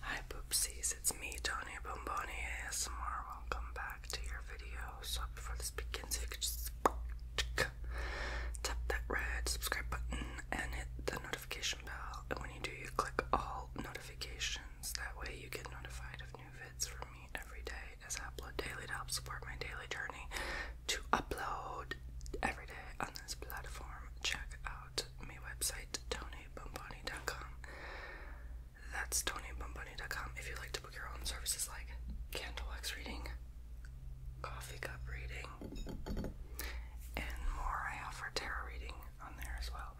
Hi poopsies, it's me, Tony Bomboni ASMR. Welcome back to your video. So before this begins, if you could just tap that red subscribe button and hit the notification bell. And when you do, you click all notifications. That way you get notified of new vids from me every day as I upload daily to help support my daily journey to upload every day on this platform. Check out my website, TonyBomboni.com. That's TonyBomboni.com. If you'd like to book your own services like candle wax reading, coffee cup reading, and more, I offer tarot reading on there as well.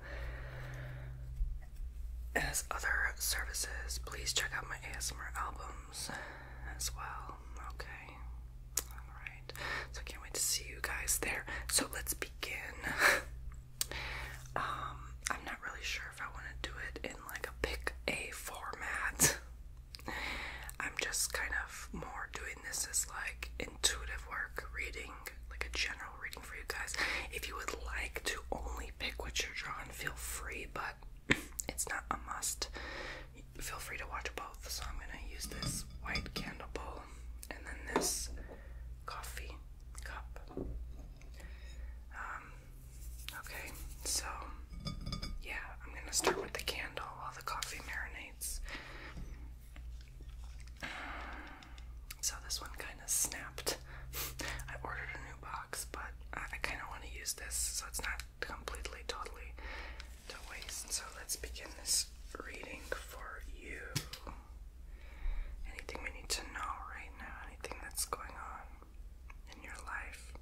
As other services, please check out my ASMR albums as well. Okay. Alright. So I can't wait to see you guys there. So let's begin. Um, I'm not really sure if I want to do it in like a pick a format. I'm just kind of more doing this as like intuitive work, reading, like a general reading for you guys. If you would like to only pick what you're drawn, feel free, but it's not a must feel free to watch both. So I'm gonna use this white candle bowl and then this coffee cup. Um, okay, so yeah, I'm gonna start with the candle while the coffee marinates. So this one kind of snapped. I ordered a new box, but I, I kind of want to use this so it's not completely, totally to waste. So let's begin this reading for you? Anything we need to know right now? Anything that's going on in your life?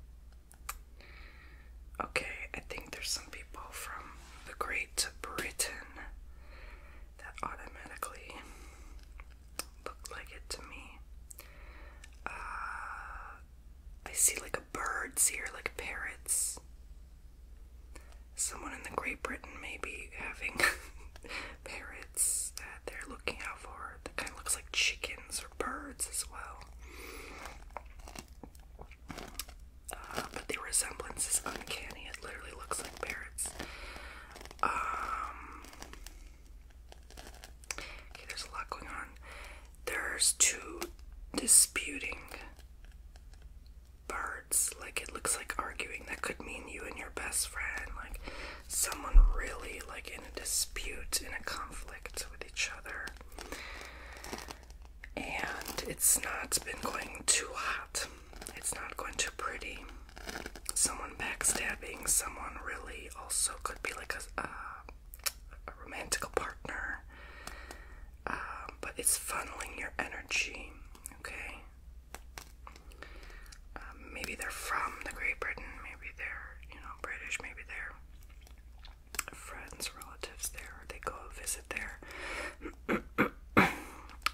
Okay, I think there's some people from the Great Britain that automatically looked like it to me. Uh, I see like a birds here, like parrots someone in the Great Britain may be having parrots that they're looking out for that kind of looks like chickens or birds as well. Uh, but the resemblance is uncanny. It literally looks like parrots. Um, okay, there's a lot going on. There's two disputing birds. Like it looks like arguing. That could mean you and your best friend, like someone really like in a dispute, in a conflict with each other. And it's not been going too hot. It's not going too pretty. Someone backstabbing, someone really also could be like a, a romantic partner. Um, but it's funneling your energy. Okay. Um, maybe they're from the Great Britain. Maybe they're you know British. Maybe they're friends, relatives there. they go visit there.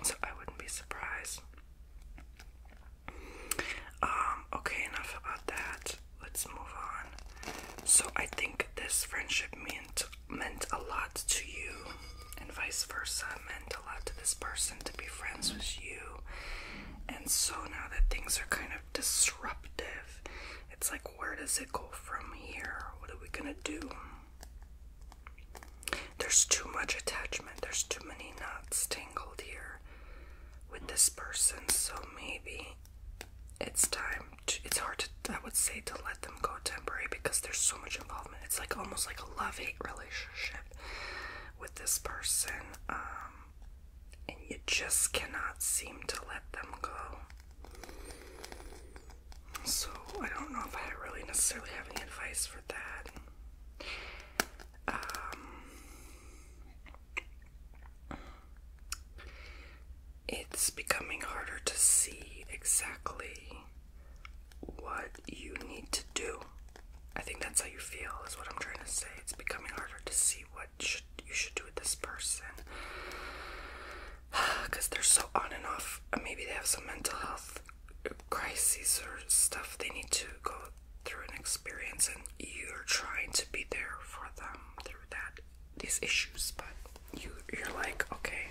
so I wouldn't be surprised. Um, okay, enough about that. Let's move on. So I think this friendship meant meant a lot to you, and vice versa meant a lot to this person to be friends with you. And so now that things are kind of disruptive, it's like, where does it go from here? What are we gonna do? There's too much attachment, there's too many knots tangled here with this person, so maybe it's time it's hard to I would say to let them go temporary because there's so much involvement. It's like almost like a love hate relationship with this person. Um, and you just cannot seem to let them go. So I don't know if I really necessarily have any advice for that. Um, it's becoming harder to see exactly what you need to do. I think that's how you feel, is what I'm trying to say. It's becoming harder to see what you should do with this person. Because they're so on and off. Maybe they have some mental health crises or stuff they need to go through an experience, and you're trying to be there for them through that these issues, but you you're like, okay,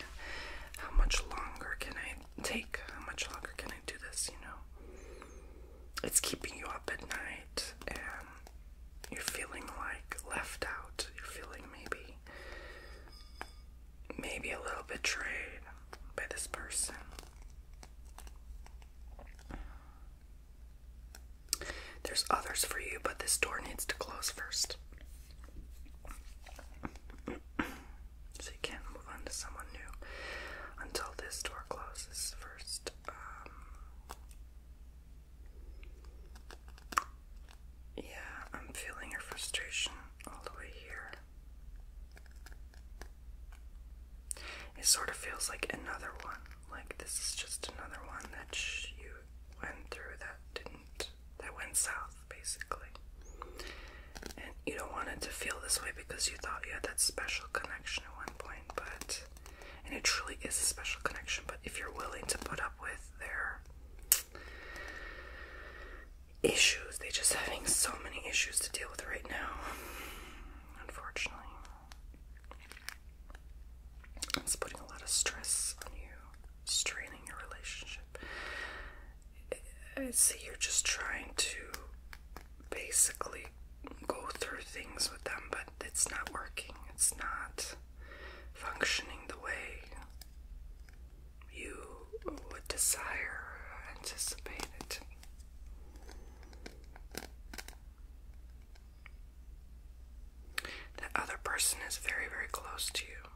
how much longer can I take? How much longer can I do this? You know, it's keeping you up at night, and you're feeling like left out. You're feeling maybe maybe a little betrayed by this person. There's others for you, but this door needs to close first. so you can't move on to someone new until this door closes first. Um, yeah, I'm feeling your frustration all the way here. It sort of feels like another one, like this is just another one that you went through that didn't that went south basically. And you don't want it to feel this way because you thought you had that special connection at one point, but and it truly is a special connection, but if you're willing to put up with their issues, they are just having so many issues to deal with right now. Unfortunately. It's putting a lot of stress on you, straining your relationship. I see you're just trying to basically go through things with them, but it's not working. It's not functioning the way you would desire or anticipate it. That other person is very, very close to you.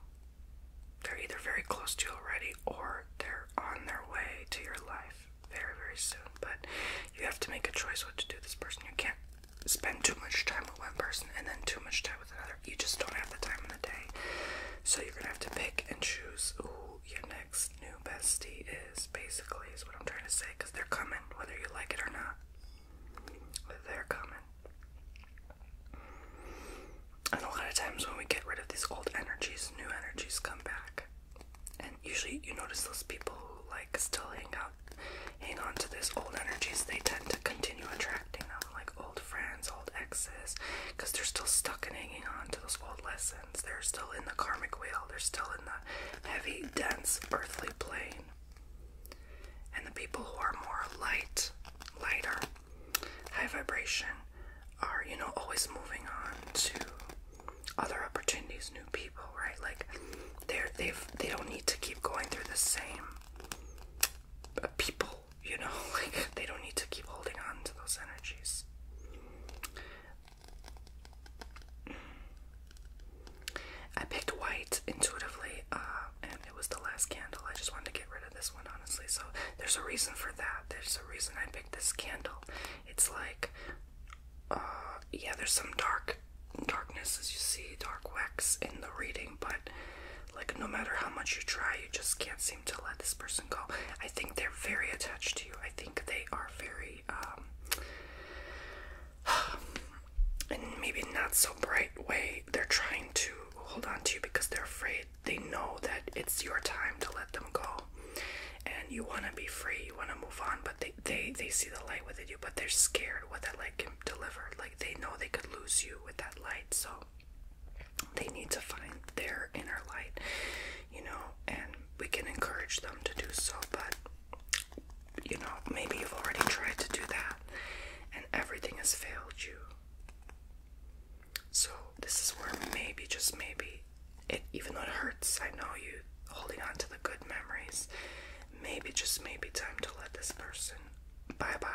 They're either very close to you already or they're on their way to your life very, very soon. But you have to make a choice what to do with this person. You can't spend too much time with one person and then too much time with another. You just don't have the time in the day. So you're going to have to pick and choose who your next new bestie is, basically, is what I'm trying to say, because they're coming whether you like it or not. They're coming. And a lot of times when we get rid of these old energies, new energies come back. And usually you notice those people who like still hang out hang on to these old energies, they tend to continue attracting them, like old friends, old exes, because they're still stuck in hanging on to those old lessons. They're still in the karmic wheel, they're still in the heavy, dense, earthly plane. And the people who are more light, lighter, high vibration, are, you know, always moving on to other opportunities, new people, right? Like they're they've they don't need to keep going through the same uh, people, you know, like they don't need to keep holding on to those energies. I picked white intuitively, uh, and it was the last candle. I just wanted to get rid of this one, honestly. So there's a reason for that. There's a reason I picked this candle. It's like, uh, yeah, there's some dark darkness as you see, dark wax in the reading, but like no matter how much you try, you just can't seem to let this person go. I think they're very attached to you. I think they are very um, and maybe not so bright way, they're trying to hold on to you because they're afraid. They know that it's your time to let them go. And you want to be free, you want to move on, but they, they, they see the light within you, but they're scared what that light can deliver. Like they know they could lose you with that light, so they need to find their inner light, you know, and we can encourage them to do so, but you know, maybe you've already tried to do that and everything has failed you. So, this is where maybe, just maybe, it even though it hurts, I know you holding on to the good memories, maybe, just maybe, time to let this person bye bye.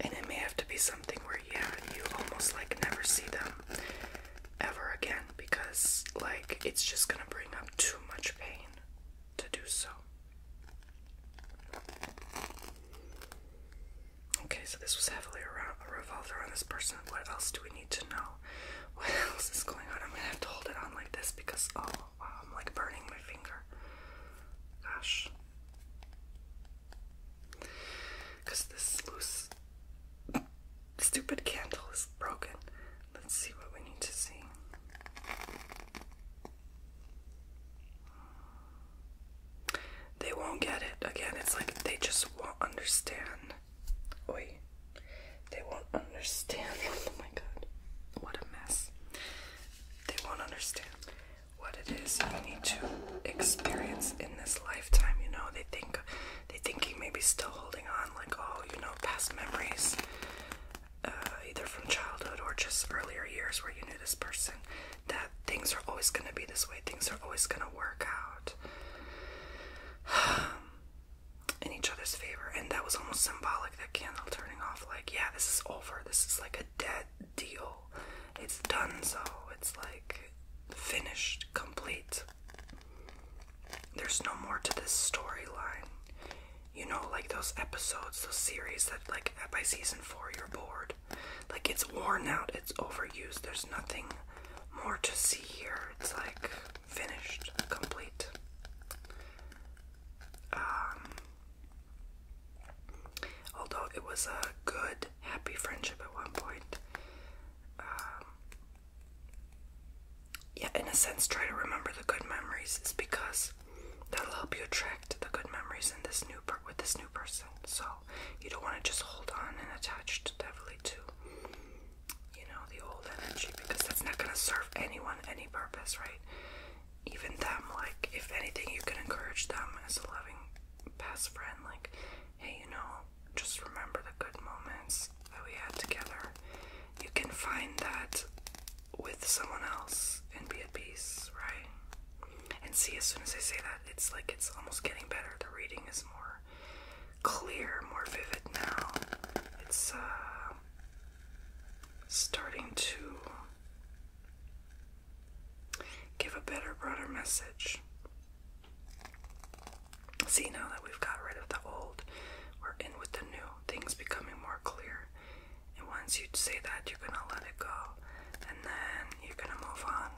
And it may have to be something where, yeah, you almost like never see them ever again because, like, it's just gonna bring up too much pain to do so. Okay, so this was heavily around, a revolver around this person. What else do we need to know? What else is going on? I'm gonna have to hold it on like this because, oh wow, I'm like burning my finger. Gosh. Because this loose, stupid candle is broken. Let's see what we need to see. They won't get it. Again, it's like they just won't understand. Oi. They won't understand. Oh my god. What a mess. They won't understand what it is you need to experience in this lifetime. You know, they think they think you may be still holding on, like oh, you know, past memories, uh, either from childhood or just earlier years where you knew this person. That things are always going to be this way. Things are always going to work out um, in each other's favor. And that was almost symbolic. That candle turning off, like yeah, this is over. This is like a dead deal. It's done so. It's like finished, complete. There's no more to this storyline. You know, like those episodes, those series that, like, by season four, you're bored. Like, it's worn out, it's overused, there's nothing more to see here. It's like finished, complete. Um, Although it was a good, happy friendship at one point. Um, yeah, in a sense, try to remember the good memories is because that'll help you attract the good memories in this new with this new person. So you don't want to just hold on and attach to heavily to you know the old energy because that's not gonna serve anyone any purpose, right? even them, like, if anything, you can encourage them as a loving best friend, like, hey, you know, just remember the good moments that we had together. You can find that with someone else and be at peace, right? And see, as soon as I say that, it's like it's almost getting better. The reading is more clear, more vivid now. It's, uh, starting to give a better, broader message. See, now that we've got rid of the old, we're in with the new, things becoming more clear. And once you say that, you're gonna let it go, and then you're gonna move on.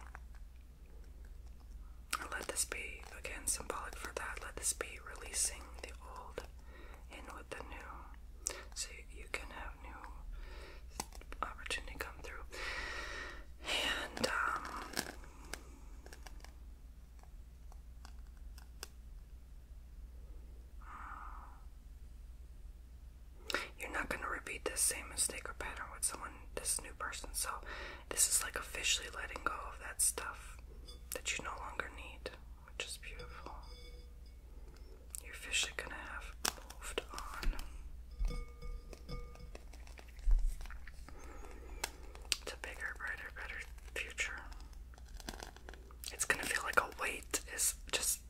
let this be, again, symbolic for that. Let this be releasing the old in with the new. So you can have new opportunity come through. And um, you're not going to repeat this same mistake or pattern with someone, this new person. So, this is like officially letting go of that stuff that you no longer need, which is beautiful. You're officially gonna have moved on to bigger, brighter, better future. It's gonna feel like a weight is just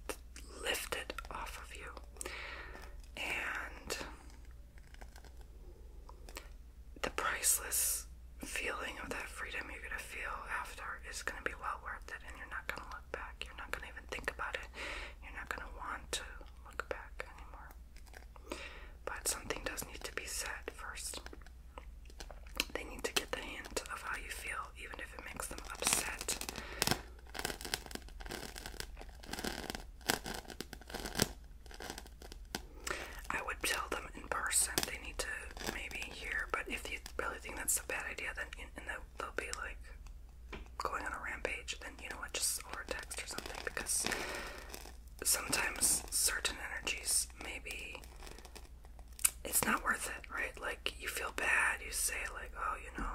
lifted off of you. And the priceless feeling of that freedom you're gonna feel after is gonna be well worth it, and you're not gonna you're not going to even think about it. You're not going to want to look back anymore. But something does need to be said first. They need to get the hint of how you feel, even if it makes them upset. I would tell them in person. They need to maybe hear, but if you really think that's a bad idea, then in, in the they'll be like going on a rampage, then you know what, just over text or something because sometimes certain energies maybe it's not worth it, right? Like you feel bad, you say like, oh, you know,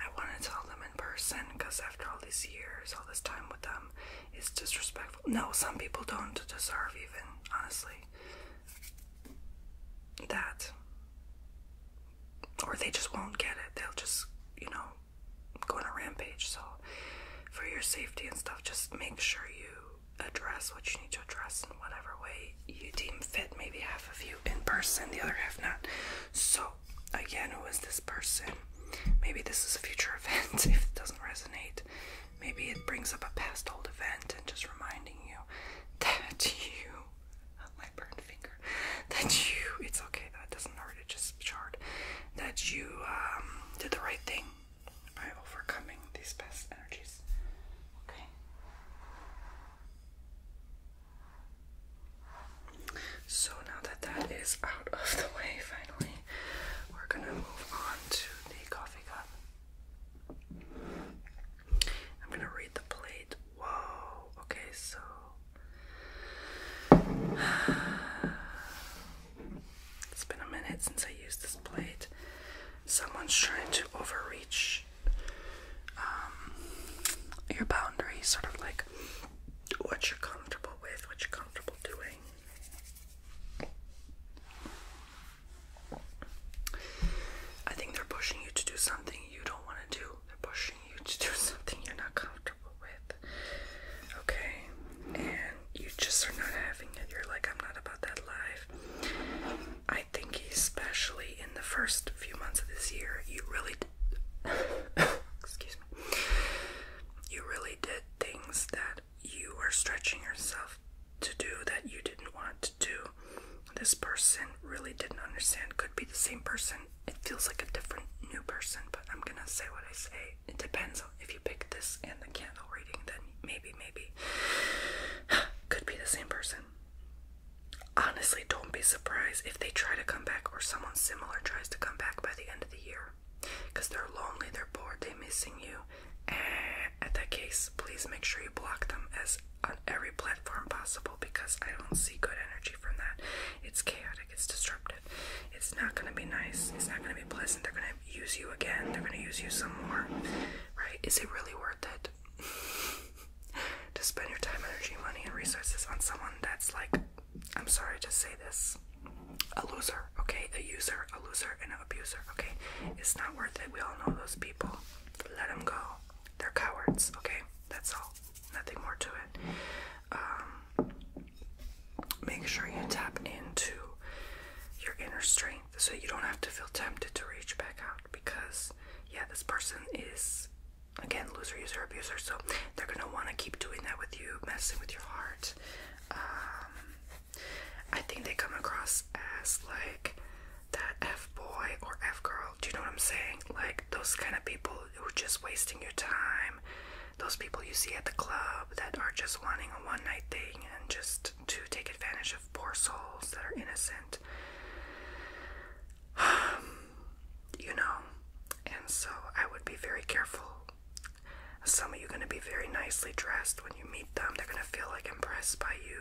I want to tell them in person because after all these years, all this time with them, it's disrespectful. No, some people don't deserve even honestly that. Or they just won't get it. They'll just, you know, go on a rampage. So, for your safety and stuff, just make sure you address what you need to address in whatever way you deem fit. Maybe half of you in person, the other half not. So, again, who is this person? Maybe this is a future event if it doesn't resonate. Maybe it brings up a past old event and just reminding you that you not my burned finger, that you, it's okay, that doesn't hurt, it just charred, that you um, did the right thing by overcoming these past energies. Okay. So now that that is out of the way, finally, we're gonna move on to the coffee cup. I'm gonna read the plate. Whoa, okay, so. It's been a minute since I used this plate. Someone's trying to overreach um, your boundaries, sort of like what you're comfortable with, what you're comfortable doing. I think they're pushing you to do something you don't want to do. They're pushing you to do something you're not comfortable with. Okay? And you just are not having it. You're like, I'm not about that life. I think, especially in the first few months of this year, you really. excuse me. You really did things that you were stretching yourself to do that you didn't want to do. This person really didn't understand. Could be the same person. It feels like a different new person, but I'm gonna say what I say. It depends on if you pick this and the candle reading, then maybe, maybe. Could be the same person. Honestly, don't be surprised if they try to come back or someone similar tries to come back by the end of the year. Because they're lonely, they're bored, they're missing you. And eh, at that case, please make sure you block them as every platform possible because I don't see good energy from that. It's chaotic, it's disruptive, it's not going to be nice, it's not going to be pleasant. They're going to use you again, they're going to use you some more, right? Is it really worth it to spend your time, energy, money, and resources on someone that's like, I'm sorry to say this, a loser, okay? A user, a loser, and an abuser, okay? It's not worth it. We all know those people. Let them go. They're cowards, okay? That's all. Nothing more to it. Um, make sure you tap into your inner strength so you don't have to feel tempted to reach back out because, yeah, this person is, again, loser, user, abuser. So they're going to want to keep doing that with you, messing with your heart. Um, I think they come across as like that F boy or F girl. Do you know what I'm saying? Like those kind of people who are just wasting your time. Those people you see at the club that are just wanting a one night thing and just to take advantage of poor souls that are innocent. you know, and so I would be very careful. Some of you are going to be very nicely dressed when you meet them. They're going to feel like impressed by you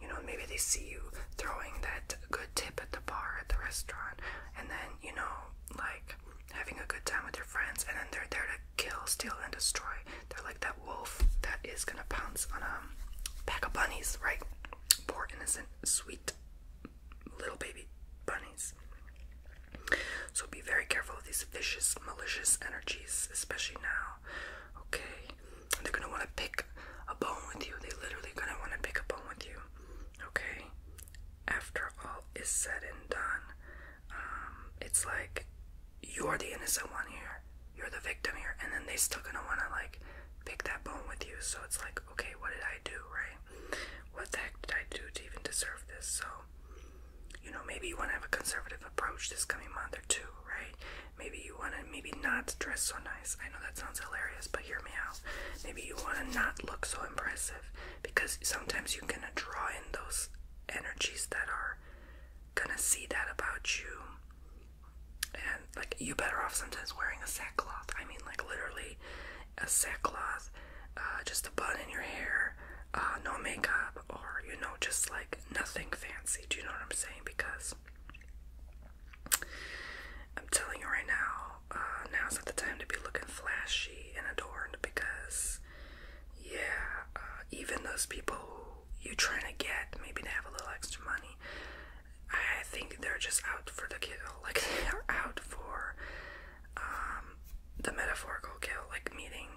you, know, maybe they see you throwing that good tip at the bar at the restaurant, and then, you know, like having a good time with your friends, and then they're there to kill, steal, and destroy. They're like that wolf that is gonna pounce on a um, pack of bunnies, right? Poor, innocent, sweet little baby bunnies. So be very careful of these vicious, malicious energies, especially now okay? They're gonna wanna pick a bone with you. They literally gonna wanna pick a bone with you, okay? After all is said and done, um, it's like you're the innocent one here, you're the victim here, and then they still gonna wanna like pick that bone with you. So it's like, okay, what did I do, right? What the heck did I do to even deserve this? So, you know, maybe you wanna have a conservative approach this coming month or two, right? Maybe you want to maybe not dress so nice. I know that sounds hilarious, but hear me out. Maybe you want to not look so impressive because sometimes you're going to draw in those energies that are going to see that about you. And like you better off sometimes wearing a sackcloth. I mean like literally a sackcloth, uh, just a bun in your hair, uh, no makeup or you know just like nothing fancy. Do you know what I'm saying? Because I'm telling you right now, uh, now's not the time to be looking flashy and adorned because, yeah, uh, even those people you're trying to get, maybe they have a little extra money, I think they're just out for the kill. Like, they're out for um, the metaphorical kill, like, meaning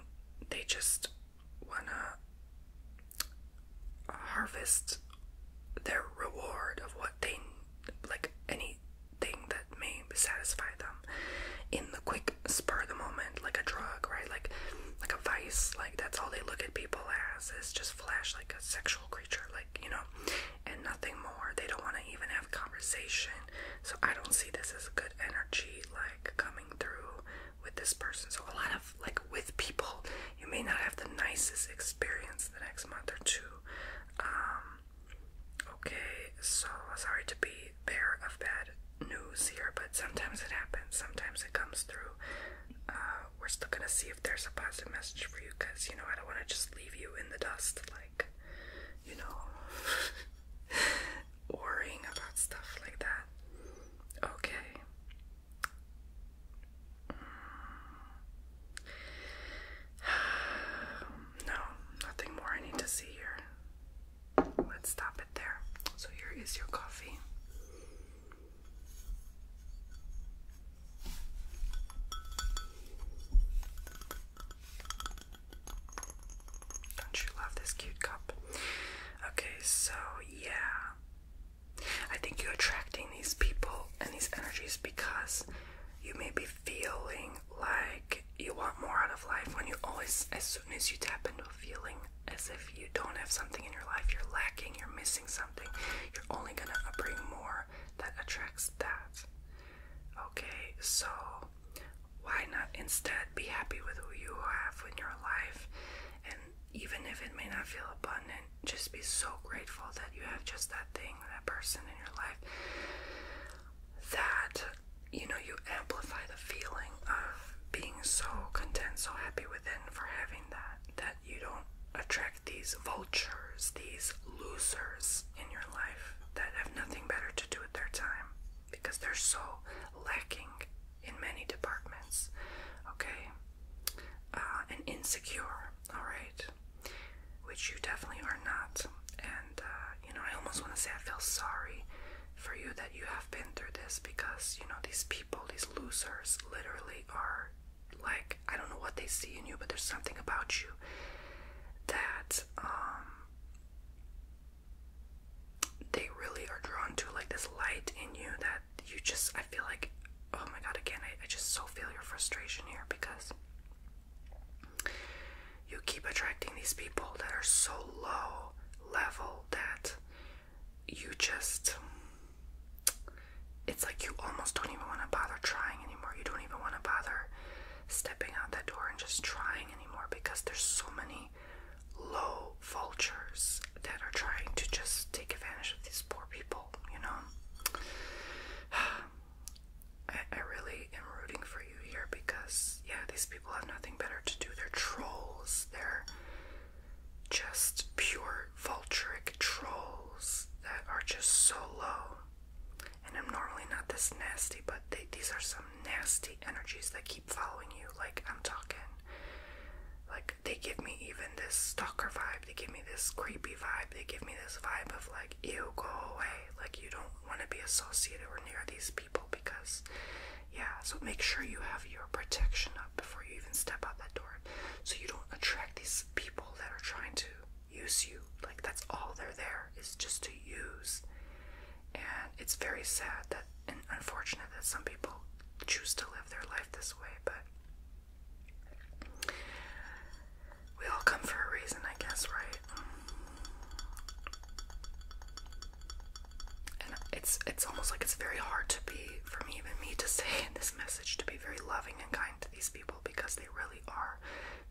they just wanna harvest their reward of what they like anything that may satisfy them in the quick spur of the moment like a drug right like like a vice like that's all they look at people as is just flash like a sexual creature like you know and nothing more they don't want to even have conversation so i don't see this as good energy like coming through with this person. So a lot of like with people, you may not have the nicest experience the next month or two. Um, okay, so sorry to be bearer of bad news here, but sometimes it happens. Sometimes it comes through. Uh, we're still gonna see if there's a positive message for you, cause you know I don't want to just leave you in the dust, like you know. worrying about stuff like that. Okay. No, nothing more I need to see here. Let's stop it there. So, here is your coffee. Don't you love this cute cup? Okay, so yeah. I think you're attracting these people and these energies because you may be feeling like you want more out of life when you always, as soon as you tap into a feeling as if you don't have something in your life, you're lacking, you're missing something, you're only gonna bring more that attracts that. Okay, so why not instead be happy with who you have in your life and even if it may not feel abundant, just be so grateful that you have just that thing, that person in your life that you know you amplify the feeling of being so content, so happy within for having that, that you don't attract these vultures, these losers in your life that have nothing better to do with their time because they're so lacking in many departments, okay? Uh, and insecure, alright? Which you definitely are not. And, uh, you know, I almost want to say I feel sorry for you that you have been through this because, you know, these people, these losers, literally are like, I don't know what they see in you, but there's something about you that, um, they really are drawn to like this light in you that you just I feel like oh my god again I, just so feel your frustration here because you keep attracting these people that are so low level that you just it's like you almost don't even want to bother trying anymore. You don't even want to bother stepping out that door and just trying anymore because there's so many low vultures that are trying to just take advantage of these poor people, you know? I, really am rooting for you here because, yeah, these people have nothing better to do. They're trolls. They're just pure vulturic trolls that are just so low. And I'm normally not this nasty, but these are some nasty energies that keep following you. Like, I'm talking. Like, they give me even this stalker vibe. They give me this creepy vibe. They give me this vibe of, like, you go away. Like, you don't want to be associated or near these people because, yeah. So, make sure you have your protection up before you even step out that door so you don't attract these people that are trying to use you. Like, that's all they're there is just to use. And it's very sad that and unfortunate that some people choose to live their life this way, but we all come for a reason, I guess, right? And it's it's almost like it's very hard to be for me even me to say in this message to be very loving and kind to these people because they really are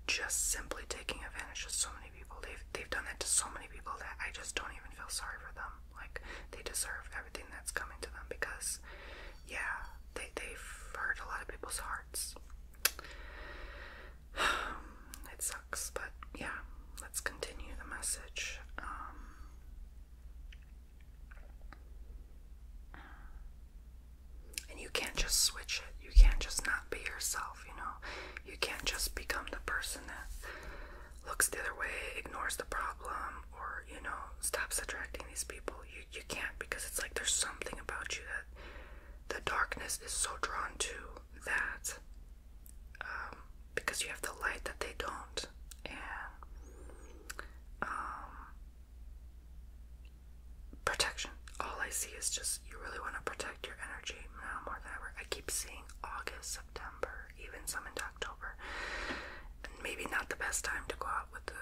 just simply taking advantage of so many people. They've they've done that to so many people that I just don't even feel sorry for them. Like they deserve everything that's coming to them because yeah, they they've hurt a lot of people's hearts. it sucks, but yeah, let's continue the message. Um, and you can't just switch it. You can't just not be yourself, you know. You can't just become the person that looks the other way, ignores the problem, or you know, stops attracting these people. You you can't because it's like there's something about you that the darkness is so drawn to that um, because you have the light that they don't, and um, protection. All I see is just you really want to protect your energy now more than ever. I keep seeing August, September, even some in October. And maybe not the best time to go out with the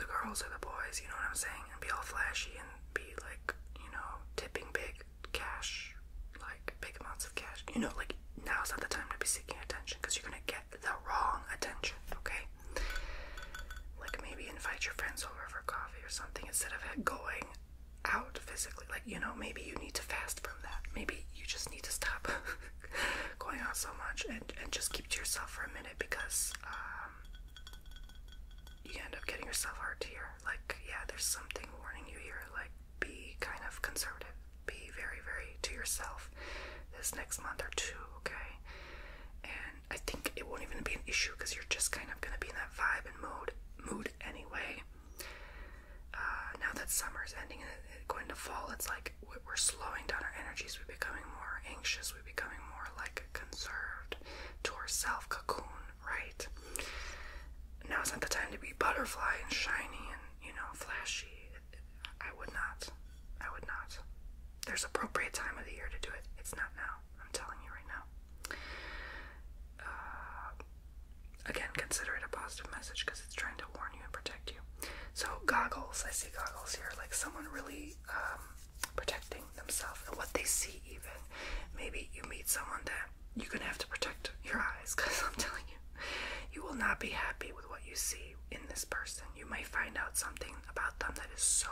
the girls or the boys, you know what I'm saying, and be all flashy and be like, you know, tipping big cash, like big amounts of cash. You know, like now's not the time to be seeking attention because you're gonna get the wrong attention, okay? Like maybe invite your friends over for coffee or something instead of going out physically. Like, you know, maybe you need to fast from that. Maybe you just need to stop going on so much and, and just keep to yourself for a minute because um, you end up getting yourself hard to hear. Like, yeah, there's something warning you here. Like, be kind of conservative. Be very, very to yourself this next month or two, okay? And I think it won't even be an issue because you're just kind of going to be in that vibe and mood mood anyway. Uh, now that summer is ending and it's going to fall, it's like we're slowing down our energies. We're becoming more anxious. We're becoming more like conserved to our self cocoon, right? Now is not the time to be butterfly and shiny and you know flashy. I would not. I would not. There's appropriate time of the year to do it. It's not now. I'm telling you right now. Uh, again, consider it a positive message because it's trying to warn you and protect you. So, goggles. I see goggles here, like someone really um, protecting themselves and what they see, even. Maybe you meet someone that you're going to have to protect your eyes because I'm telling you, you will not be happy with what you see in this person. You may find out something about them that is so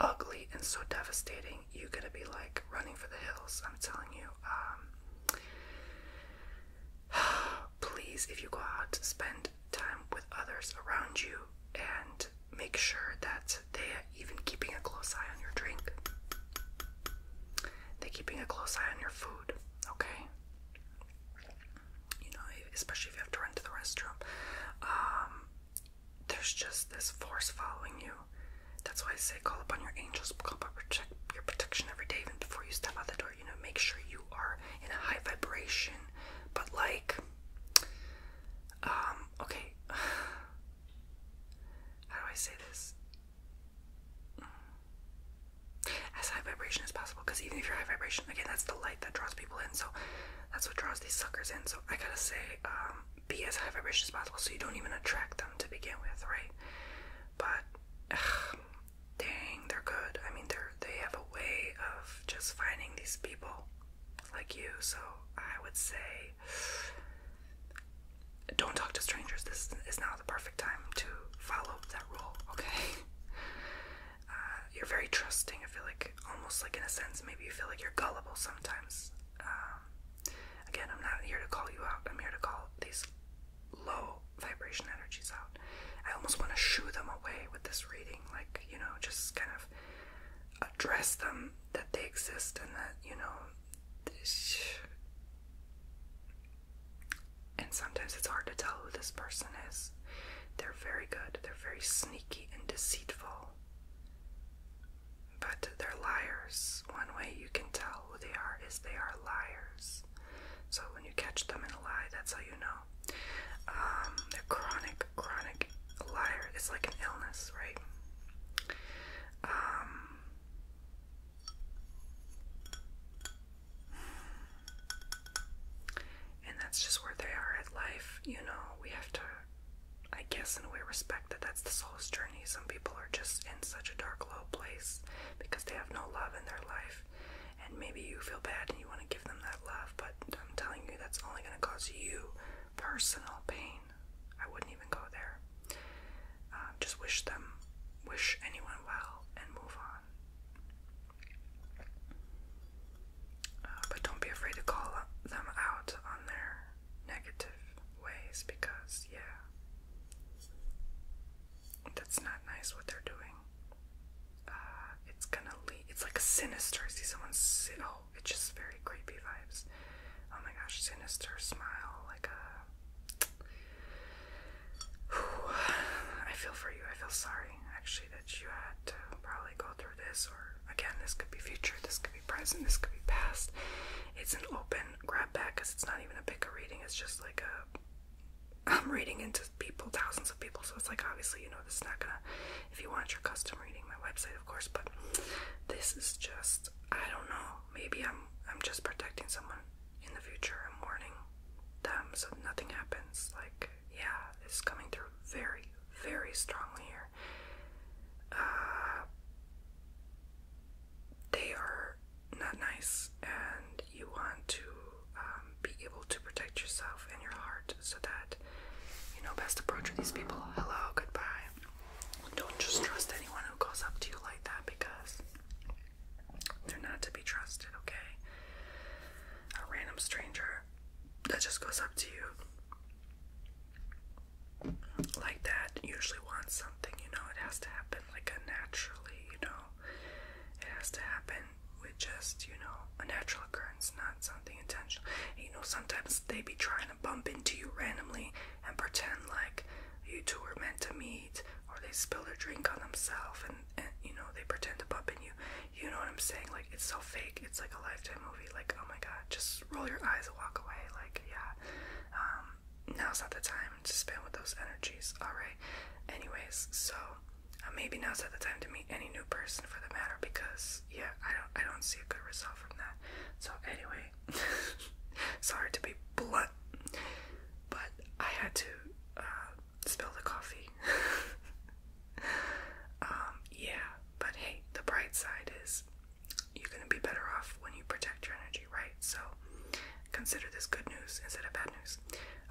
ugly and so devastating you're gonna be like running for the hills. I'm telling you. Um, please, if you go out, spend time with others around you and make sure that they're even keeping a close eye on your drink. They're keeping a close eye on your food, okay? You know, especially if you have to run to the restroom. Um, there's just this force following you that's why I say call upon your angels, call upon protect your protection every day, even before you step out the door. You know, make sure you are in a high vibration. But like, um, okay, how do I say this? As high vibration as possible, because even if you're high vibration, again, that's the light that draws people in. So that's what draws these suckers in. So I gotta say, um, be as high vibration as possible so you don't even attract them to begin with, right? But dang, they're good. I mean, they're they have a way of just finding these people like you. So I would say, don't talk to strangers. This is now the perfect time to follow that rule. Okay. Uh, you're very trusting. I feel like almost like in a sense, maybe you feel like you're gullible sometimes. Um, again, I'm not here to call you out. I'm here to call these low vibration energies out. I almost want to shoo them away with this reading, like, you know, just kind of address them that they exist and that, you know, and sometimes it's hard to tell who this person is. They're very good, they're very sneaky and deceitful. But they're liars. One way you can tell who they are is they are liars. So when you catch them in a lie, that's how you know. they're um, chronic, chronic liar. It's like an illness, right? Um, and that's just where they are at life. You know, we have to I guess in a way respect that that's the soul's journey. Some people are just in such a dark, low place because they have no love in their life, and maybe you feel bad and you want to give them that love, but I'm telling you, that's only going to cause you personal pain. I wouldn't even go there. Um, just wish them, wish anyone well, and move on. Uh, but don't be afraid to call them out on their negative ways because, yeah, that's not nice what they're doing. Uh, it's gonna lead, it's like a sinister. I see someone oh, it's just very creepy vibes. Oh my gosh, sinister smile, like a. I feel for you. I feel sorry, actually, that you had to probably go through this, or again, this could be future, this could this could be past. It's an open grab bag because it's not even a pick a reading, it's just like a I'm reading into people, thousands of people, so it's like obviously, you know, this is not gonna, if you want your custom reading, my website, of course, but this is just, I don't know, maybe I'm, I'm just protecting someone in the future, I'm warning them so nothing happens, like, yeah, it's coming through very, very strongly here, uh, they are not nice, and you want to um, be able to protect yourself and your heart so that you know best approach with these people. Hello, goodbye. Don't just trust anyone who goes up to you like that because they're not to be trusted, okay? A random stranger that just goes up to you like that usually wants something, you know, it has to happen like a naturally, you know. It has to happen with just, you know, a natural occurrence, not something intentional. And, you know, sometimes they be trying to bump into you randomly and pretend like you two were meant to meet or they spill their drink on themselves and, and you know, they pretend to bump in you. You know what I'm saying? Like it's so fake. It's like a lifetime movie, like, oh my god, just roll your eyes and walk away. Like, yeah, um, now's not the time to spend with those energies. All right. Anyways, so uh, maybe now's not the time to meet any new person for the matter because yeah, I don't, I don't see a good result from that. So anyway, sorry to be blunt, but I had to uh, spill the coffee. Um, yeah, but hey, the bright side is you're going to be better off when you protect your energy, right? So consider this good news instead of bad news.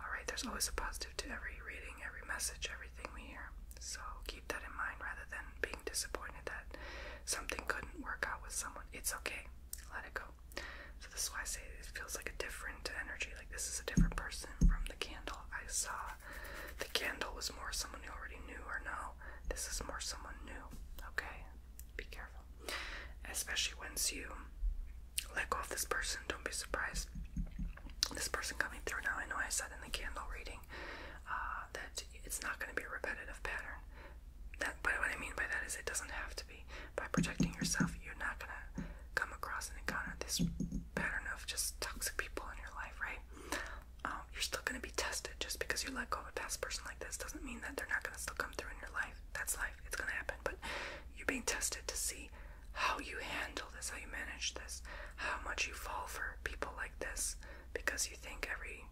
Alright, there's always a positive to every reading, every message, everything we hear. So keep that in mind rather than being disappointed that something couldn't work out with someone. It's okay. Let it go. So this is why I say it feels like a different energy. Like this is a different person from the candle I saw. The candle was more someone you already knew or know this is more someone new, okay? Be careful. Especially once you let go of this person, don't be surprised. This person coming through now, I know I said in the candle reading uh, that it's not going to be a repetitive pattern. That, but what I mean by that is it doesn't have to be. By protecting yourself, you're not going to come across an encounter this pattern of just toxic people in your life, right? um, you're still going to be tested just because you let go of a past person like this doesn't mean that they're not going to still come through in your life. That's life. It's going to happen. But you're being tested to see how you handle this, how you manage this, how much you fall for people like this because you think every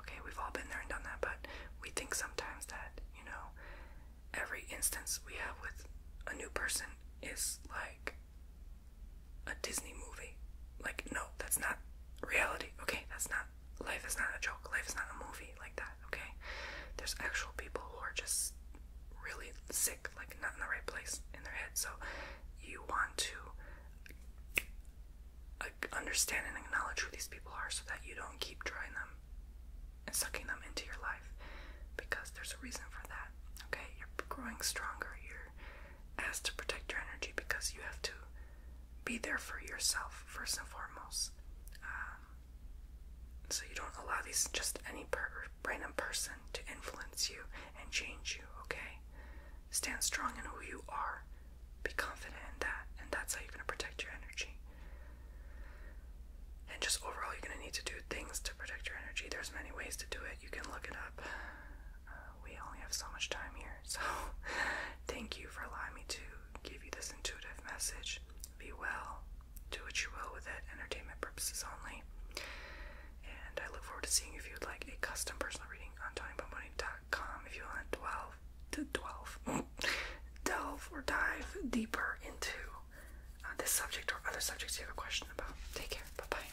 okay, we've all been there and done that, but we think sometimes that, you know, every instance we have with a new person is like a Disney movie. Like, no, that's not reality, okay? That's not, life is not a joke. Life is not a movie like that, okay? There's actual people who are just really sick, like not in the right place in their head. So you want to understand and acknowledge who these people are so that you don't keep drawing them and sucking them into your life because there's a reason for that okay you're growing stronger you're as to protect your energy because you have to be there for yourself first and foremost. Um, so you don't allow these just any random person to influence you and change you, okay? Stand strong in who you are. Be confident in that, and that's how you're going to protect your energy. And just overall, you're going to need to do things to protect your energy. There's many ways to do it. You can look it up. Uh, we only have so much time here, so thank you for allowing me to give you this intuitive message. Be well, do what you will with it, entertainment purposes only. And I look forward to seeing if you'd like a custom personal reading on TonyBomboni.com if you want to delve, to delve, delve or dive deeper into uh, this subject or other subjects you have a question about. Take care. Bye bye.